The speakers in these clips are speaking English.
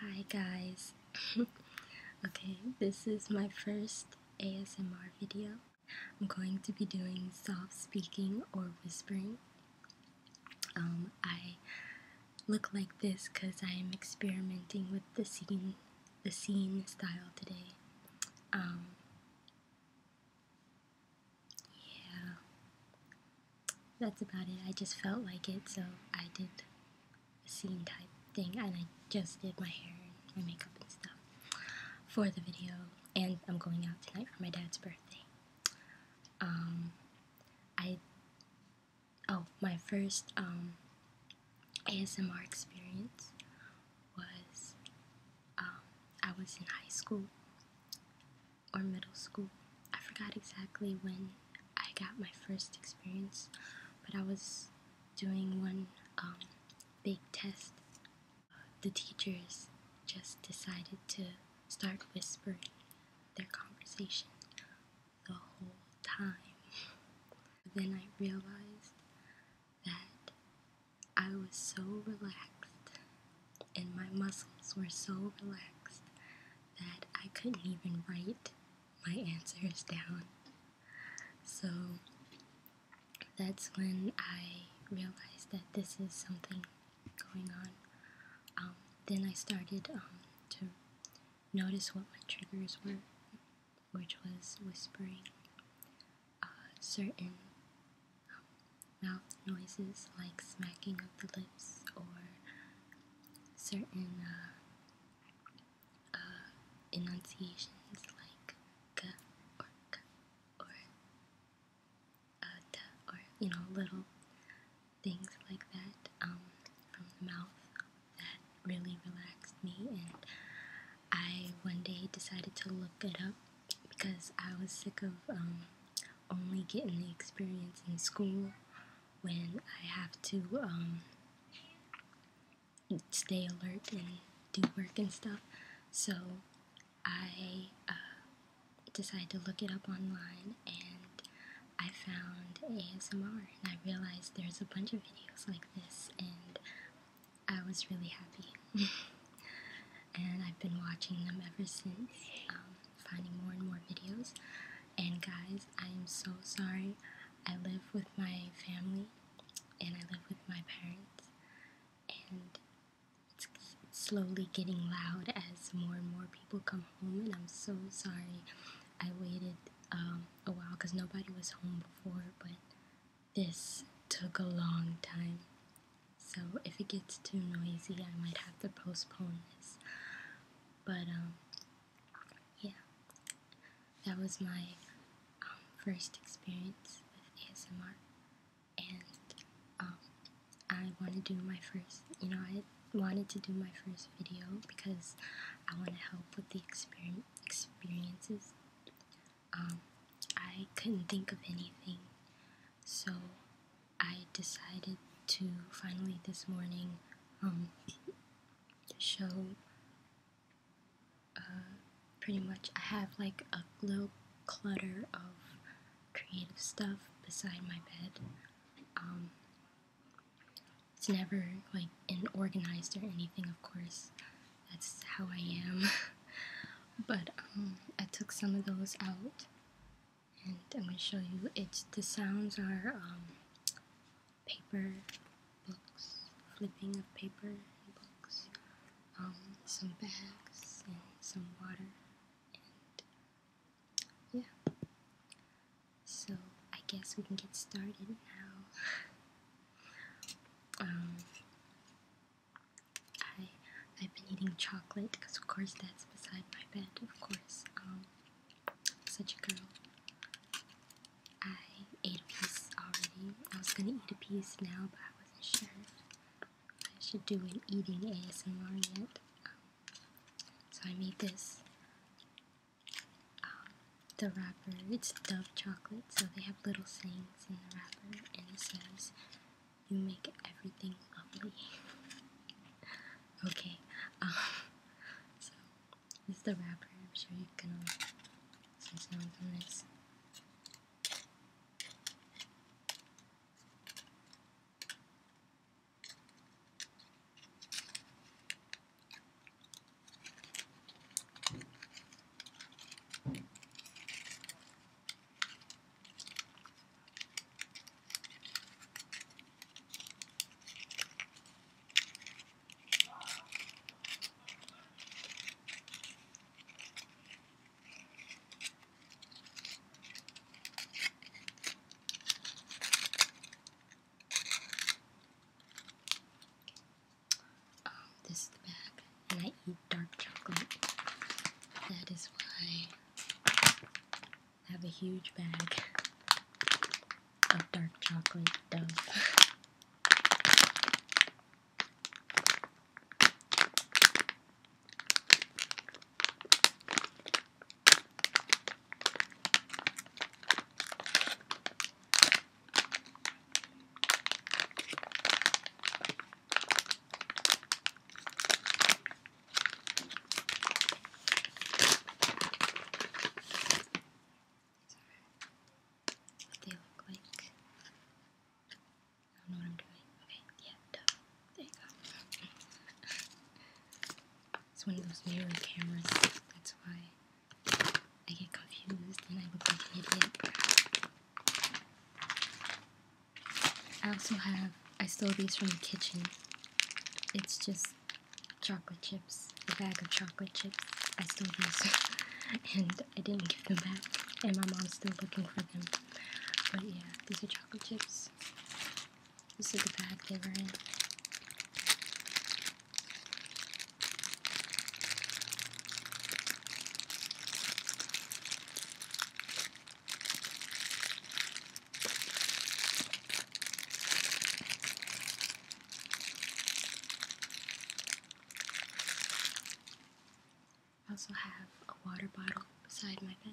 Hi guys. okay, this is my first ASMR video. I'm going to be doing soft speaking or whispering. Um, I look like this because I am experimenting with the scene, the scene style today. Um, yeah that's about it. I just felt like it, so I did a scene type thing, and I just did my hair and my makeup and stuff for the video. And I'm going out tonight for my dad's birthday. Um, I oh my first um, ASMR experience was um, I was in high school or middle school. I forgot exactly when I got my first experience, but I was doing one um, big test. The teachers just decided to start whispering their conversation the whole time. then I realized that I was so relaxed and my muscles were so relaxed that I couldn't even write my answers down. So that's when I realized that this is something going on. Um, then I started um, to notice what my triggers were, which was whispering, uh, certain um, mouth noises like smacking of the lips or certain uh, uh, enunciations like g or k or uh, or you know little things like that um, from the mouth that really relaxed me and I one day decided to look it up because I was sick of um, only getting the experience in school when I have to um, stay alert and do work and stuff. So I uh, decided to look it up online and I found ASMR and I realized there's a bunch of videos like this and I was really happy. and I've been watching them ever since. Um, finding more and more videos. And guys, I am so sorry. I live with my family and I live with my parents, and it's slowly getting loud as more and more people come home. And I'm so sorry. I waited um, a while because nobody was home before, but this took a long time. So if it gets too noisy, I might have to postpone this. But, um, yeah, that was my um, first experience with ASMR. And, um, I want to do my first, you know, I wanted to do my first video because I want to help with the experience, experiences. Um, I couldn't think of anything, so I decided to finally this morning um, show uh, pretty much I have like a little clutter of creative stuff beside my bed. Um, it's never like organized or anything, of course. That's how I am. but um, I took some of those out and I'm going to show you it's the sounds are um, paper books flipping of paper books um, some bags and some water and yeah so I guess we can get started now um, I, I've been eating chocolate because of course that's beside my bed of course um, such a girl. I ate a piece already. I was gonna eat a piece now, but I wasn't sure I should do an eating ASMR yet. Um, so I made this. Um, the wrapper, it's Dove chocolate, so they have little sayings in the wrapper, and it says, You make everything lovely. Okay, um, so this the wrapper. I'm sure you can all see um, this is the bag, and I eat dark chocolate. That is why I have a huge bag of dark chocolate dove what they look like. I don't know what I'm doing. Okay, yeah, duh. There you go. it's one of those mirror cameras. That's why I get confused and I look like an idiot. I also have I stole these from the kitchen. It's just chocolate chips, a bag of chocolate chips. I stole these and I didn't give them back, and my mom's still looking for them. But yeah, these are chocolate chips. This is the bag they were in. I also have a water bottle beside my bed.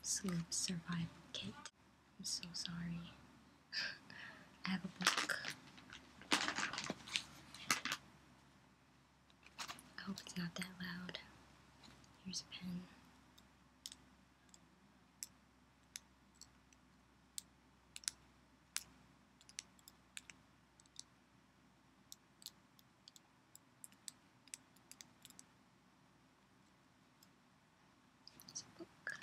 Sleep Survival Kit. I'm so sorry. I have a book. I hope it's not that loud. Here's a pen. There's a book.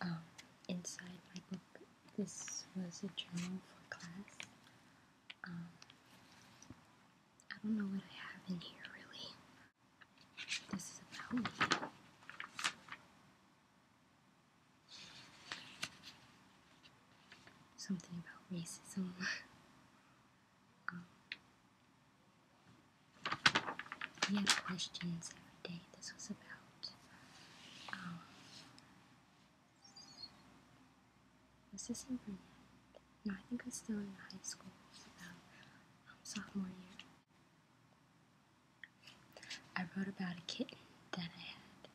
Um, inside my book this was a journal for class. Um, I don't know what I have in here really. This is about Something about racism. Um, we had questions every day. This was about um, was This in not No, I think I was still in high school, about um, sophomore year. I wrote about a kitten that I had.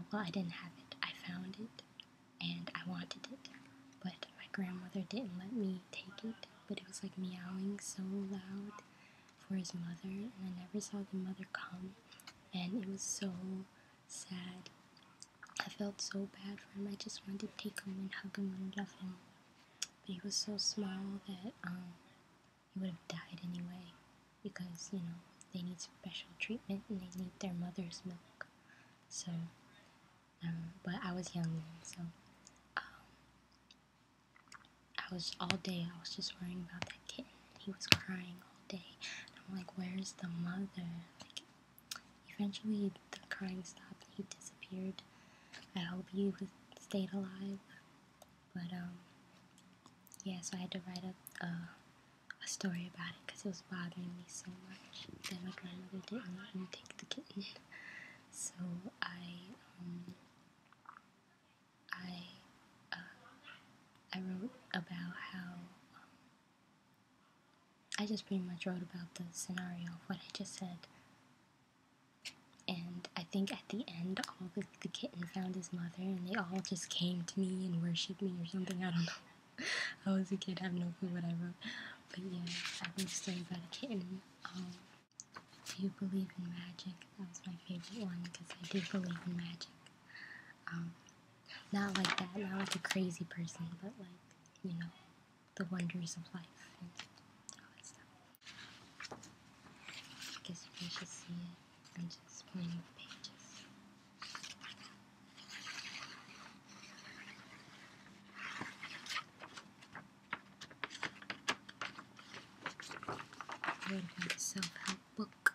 Oh, well, I didn't have it. I found it, and I wanted it, but my grandmother didn't let me take it. But it was like meowing so loud for his mother, and I never saw the mother come, and it was so sad. I felt so bad for him. I just wanted to take him and hug him and love him. But he was so small that um, he would have died anyway because, you know, they need special treatment and they need their mother's milk. So, um, but I was young then, so um, I was all day, I was just worrying about Kitten, He was crying all day. I'm like, where's the mother? Like, eventually the crying stopped. He disappeared. I hope he stayed alive. But um, yeah. So I had to write a, uh, a story about it because it was bothering me so much that my grandmother didn't want me take the kitten. So I um, I uh, I wrote about how um, I just pretty much wrote about the scenario of what I just said. And I think at the end, all the, the kitten found his mother, and they all just came to me and worshipped me or something. I don't know. I was a kid, have no clue what I wrote. But yeah, I wrote a story about a kitten. do um, you believe in magic? That was my favorite one because I do believe in magic. Um, not like that, not like a crazy person, but like, you know, the wonders of life and all that stuff. I guess you should see it. i just pointing the pages. I would self help book.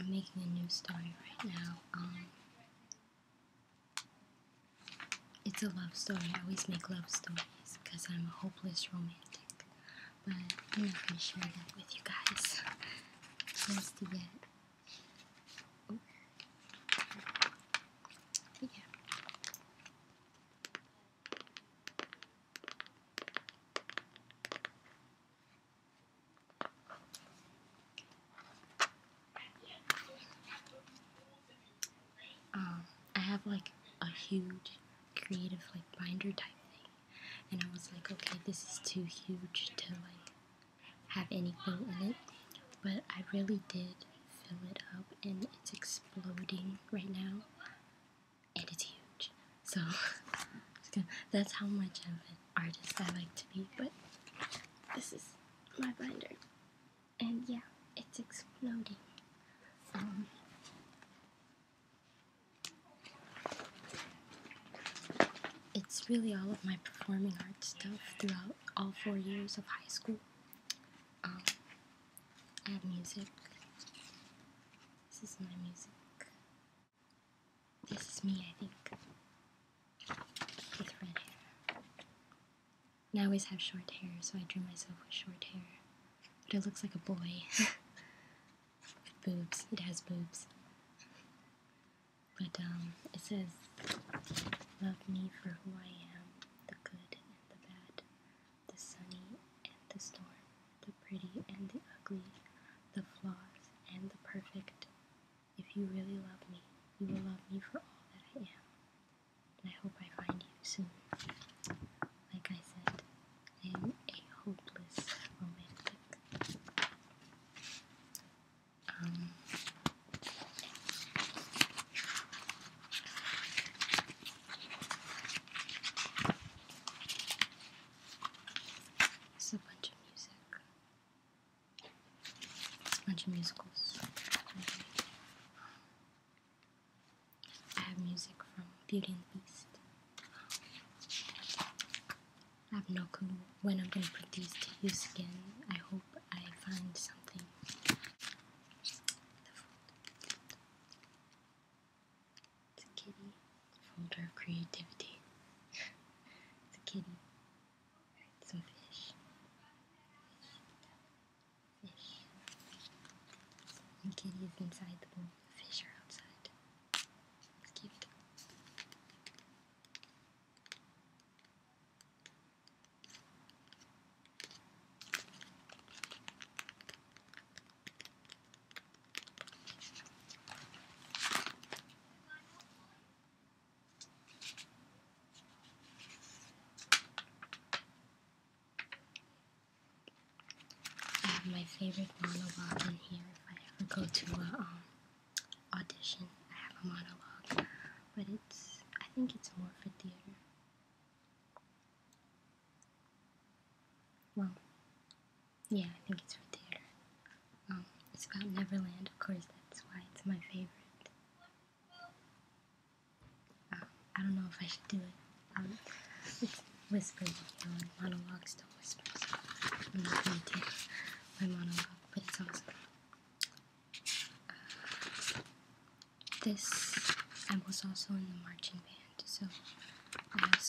I'm making a new story right now. Um, it's a love story. I always make love stories because I'm a hopeless romantic. But I'm not going to share that with you guys just yet. Oh. Yeah. Um, I have like a huge creative like binder type thing, and I was like, okay, this is too huge to like have anything in it, but I really did fill it up, and it's exploding right now and it's huge. So that's how much of an artist I like to be. But this is my binder, and yeah, it's exploding. Um, it's really all of my performing art stuff throughout all four years of high school. Um, I have music. This is my music. This is me, I think. With red hair. I always have short hair, so I drew myself with short hair. But it looks like a boy. with boobs. It has boobs. But um, it says, Love me for who I am, the good and the bad, the sunny and the storm the pretty and the ugly, the flaws and the perfect. If you really love me, you will love me for all that I am. I hope I find you soon. Like I said, I am a hopeless romantic. Um, it's a bunch of music. It's a bunch of musicals. I have music from Beauty and the Beast. I have no clue when I'm gonna put these to use again. I hope I find something. It's a kitty. Folder of creativity. it's a kitty. Right, some fish. Fish. The kitty is inside the bowl. The fish are outside. It's cute. I have my favorite monologue in here. If I ever go to a um, audition, I have a monologue, but it's I think it's more for theater. Well, yeah, I think it's for theater. Um, it's about Neverland, of course, that's why it's my favorite. Um, I don't know if I should do it. Um, monologues don't I'm going to do my monologue, but it's also uh, this. I was also in the marching band. So I have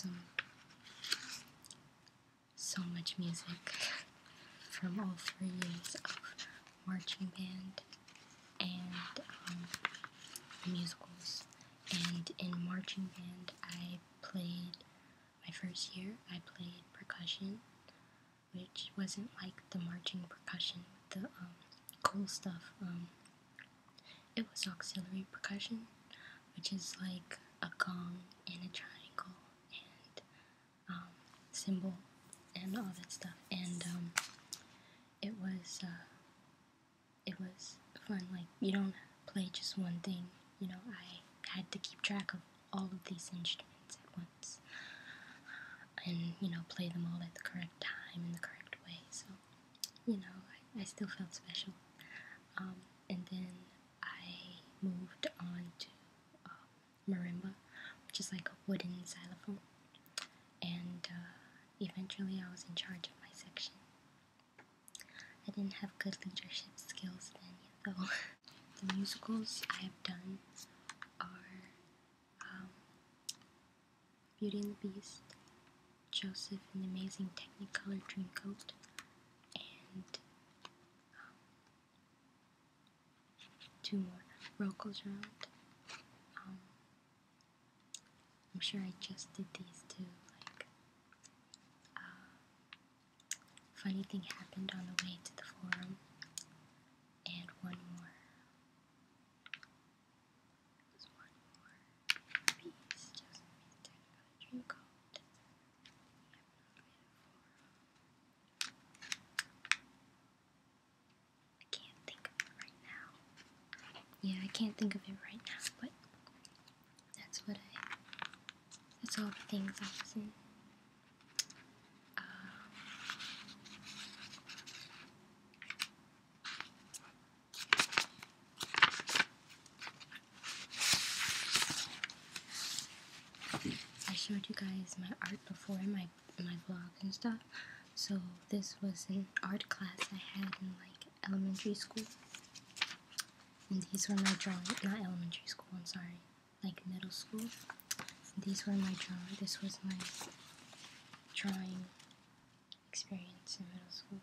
so much music from all three years of marching band and um, musicals. And in marching band, I played my first year. I played percussion, which wasn't like the marching percussion, the um, cool stuff. Um, it was auxiliary percussion, which is like a gong and a triangle and symbol um, and all that stuff. And um, it was uh, it was fun. Like you don't play just one thing. You know, I had to keep track of all of these instruments at once, and you know, play them all at the correct time in the correct way. So, you know, I, still felt special. Um, and then I moved on to um, marimba, which is like a wooden xylophone, and uh, eventually I was in charge of my section. I didn't have good leadership skills then, though. the musicals I have done are um, Beauty and the Beast, Joseph an amazing Technicolor Dreamcoat, and um, two more. Roll goes around. Um, I'm sure I just did these two. Like, uh, funny thing happened on the way to the forum, and one more. There's one more. I can't think of it right now. Yeah, I can't think of it right now, but that's what I. That's all the things I was in. Um, I showed you guys my art before in my my vlog and stuff. So this was an art class I had in like elementary school. And these were my drawings, not elementary school, I'm sorry, like middle school. These were my drawing, this was my drawing experience in middle school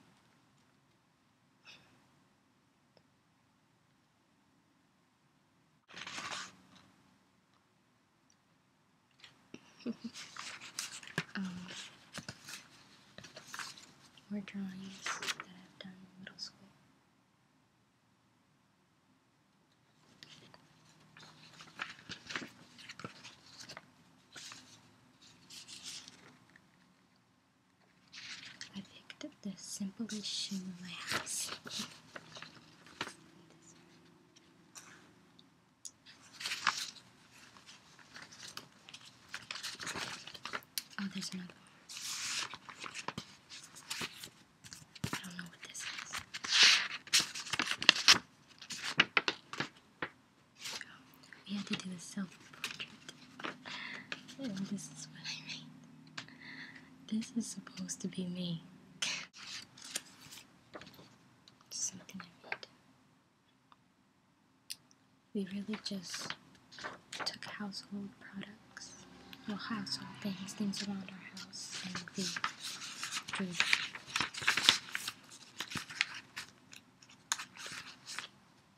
um, or drawings that I've done in middle school. I picked up the simplest shoe in my house. Oh, there's another one. I don't know what this is. We had to do a self-portrait. And this is what I made. This is supposed to be me. Something I made. We really just took household products, well, household things, things around our house, and we drew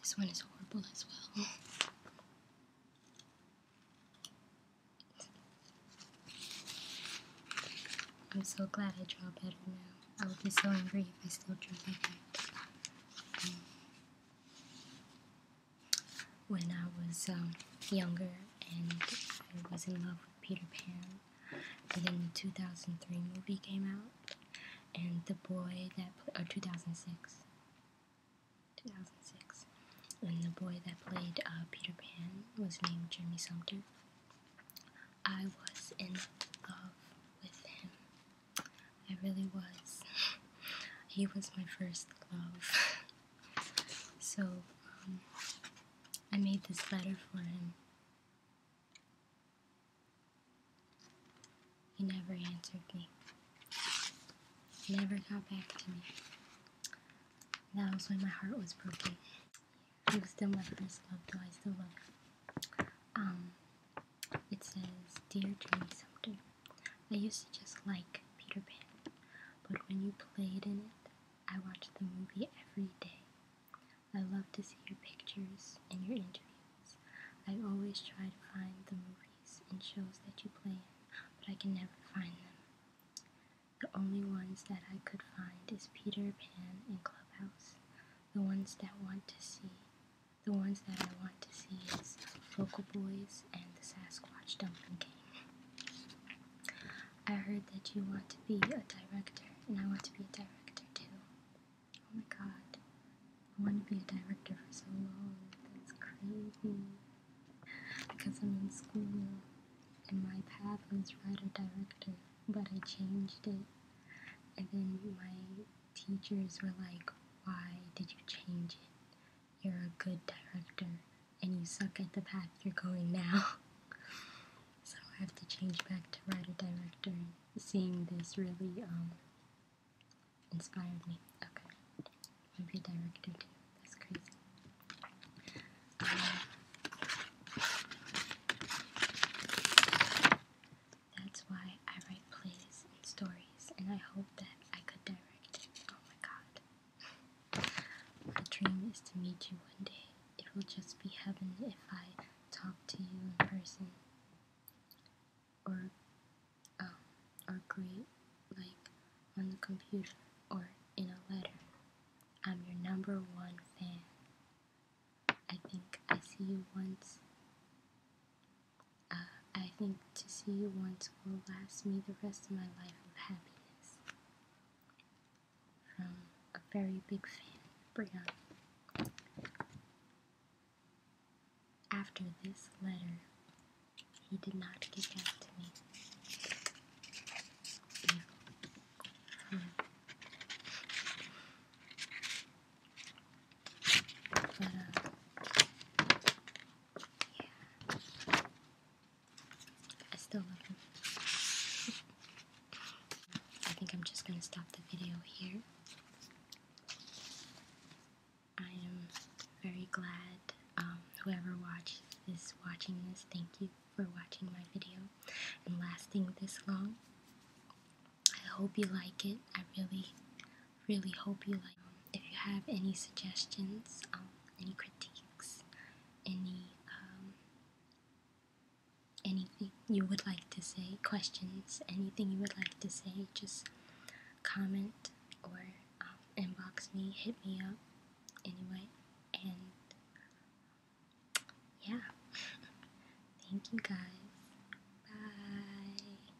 This one is horrible as well. I'm so glad I draw better now. I would be so angry if I still drew like that when I was um, younger and I was in love with Peter Pan. And then the 2003 movie came out, and the boy that played, or 2006, 2006, and the boy that played uh, Peter Pan was named Jeremy Sumpter. I was in love with him. I really was. He was my first love. So um, I made this letter for him. He never answered me. never got back to me. That was when my heart was broken. He was still my first love, though I still love him. Um, it says, Dear Dream Sumter, I used to just like Peter Pan, but when you played in it, I watched the movie every day. I love to see your pictures and your interviews. I always try to find the movies and shows that you play in, but I can never find them. The only ones that I could find is Peter Pan and Clubhouse. The ones that want to see, the ones that I want to see is Local Boys and the Sasquatch watch Donkey King. I heard that you want to be a director, and I want to be a director too. Oh my god. I want to be a director for so long. That's crazy. Because I'm in school, and my path was writer director, but I changed it. And then my teachers were like, Why did you change it? You're a good director and you suck at the path you're going now. so I have to change back to writer director. Seeing this really um, inspired me. Okay. Maybe director too. That's crazy. that's why I write plays and stories and I hope that I could direct. Oh my god. My dream is to meet you one day. It will just be heaven if I talk to you in person. Or, um, or great, like on the computer or in a letter. I'm your number one fan. I think I see you once uh, I think to see you once will last me the rest of my life of happiness. From a very big fan, Brianna. After this letter, he did not get back to me. Yeah. Hmm. But, uh, yeah. I still love him. I think I'm just gonna stop the video here. I am very glad um, whoever watched is watching this. Thank you for watching my video and lasting this long. I hope you like it. I really really hope you like. If you have any suggestions, um, any critiques, any um, anything you would like to say, questions, anything you would like to say, just comment or um, inbox me, hit me up anyway, and yeah. Thank you guys. Bye.